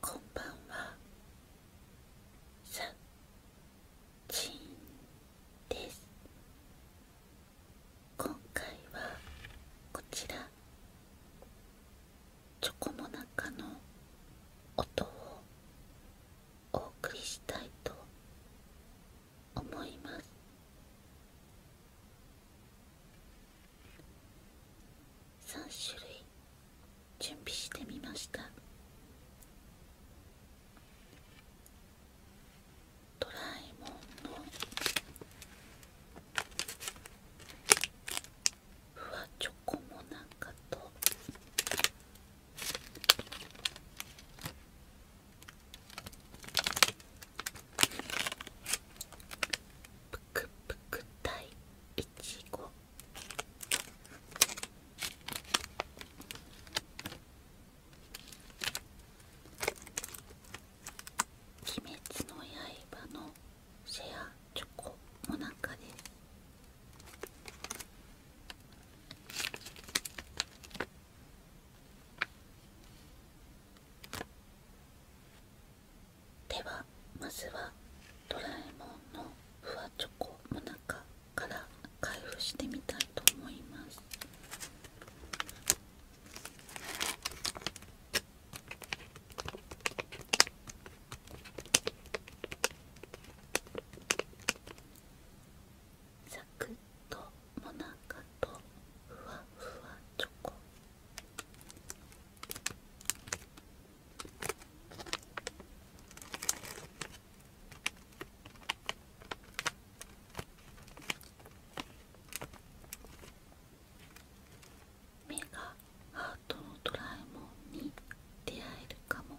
こんばんはさちんです今回はこちらチョコモナカの音をお送りしたいと思います3種類準備してみましたドラえもんのふわチョコもなんかとぷくぷくたいちご鬼滅の刃のシェアチョコもなかですではまずはドラえもんのふわチョコの中から開封してみたいと思いますサクッともなかとふわふわチョコ目がハートのドラえもんに出会えるかも。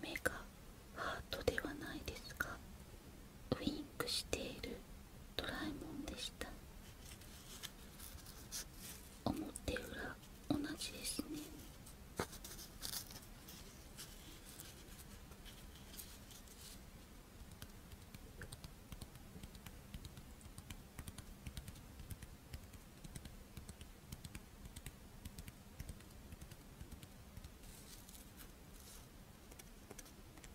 目がハートではないですがウィンクしているドラえもんでした。表裏同じですね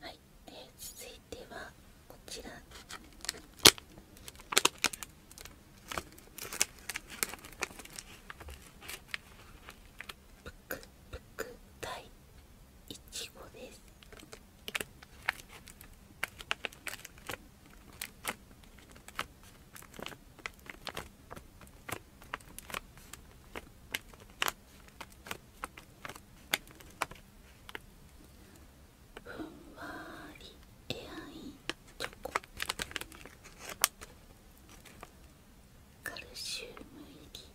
はい、えー、続いてはこちらぷくぷく第いちごですふんわりエアインチョコカルシウム入り「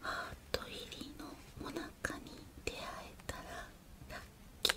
ハート入りのおナカに出会えたらラッキー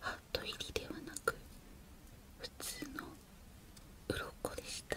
ハート入りではなく普通の鱗でした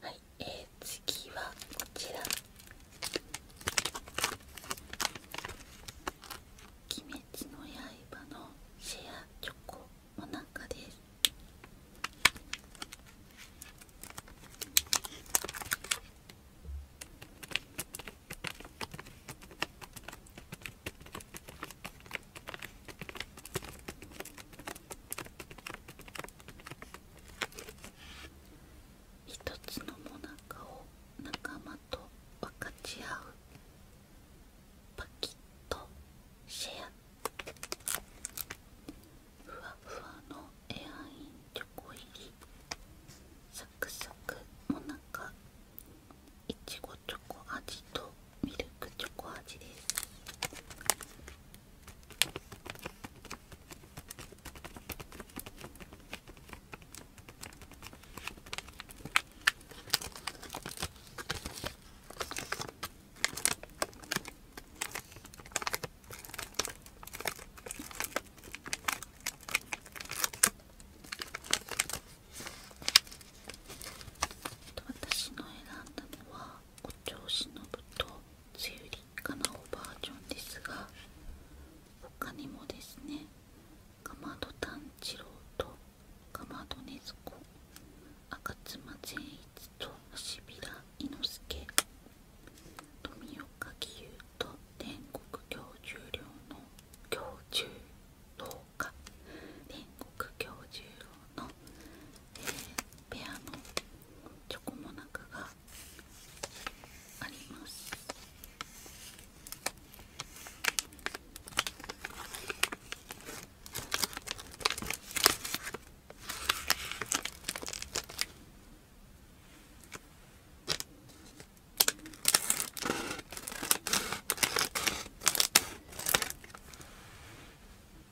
はい、え次はこちら「鬼滅の刃」のシェアチョコモナカです一つのもなかを仲間と分かち合うパキッとシェアふわふわのエアインチョコ入りサクサクもなかいちごチョコ味とミルクチョコ味です私の選んだのはお調子のぶと梅雨立夏なおバージョンですが他にもですねかまど炭治郎とかまど禰豆子赤妻善逸と足平伊之助富岡義勇と天国教授寮の教授廊下天国教授寮のペアのチョコモナカがありますあ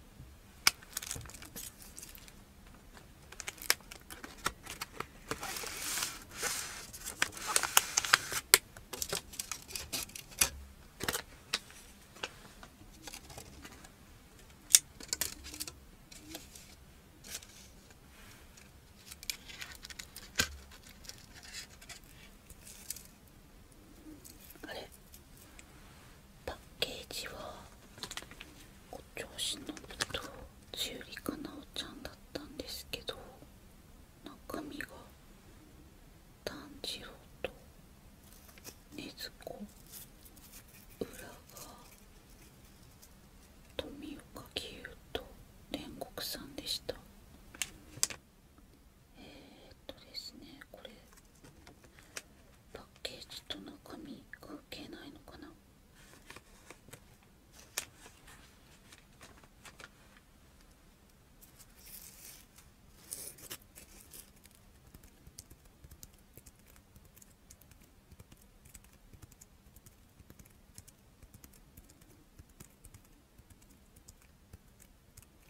れパッケージはご調子のとつゆりかなおちゃんだったんですけど中身が炭治郎と禰豆子裏が富岡義勇と煉獄さんでした。とですねこれパッケージと中身関係ないのかな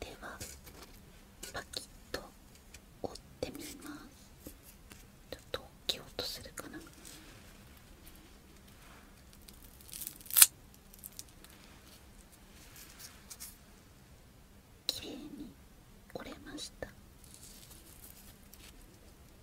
ではパキッと折ってみますちょっと大きうとするかな綺麗に折れました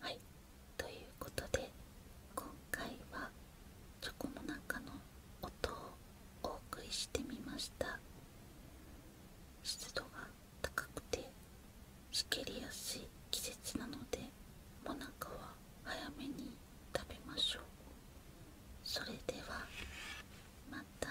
はいということで今回はチョコの中の音をお送りしてみました湿度が高くてしけりやすい季節なのでもなかは早めに食べましょうそれではまた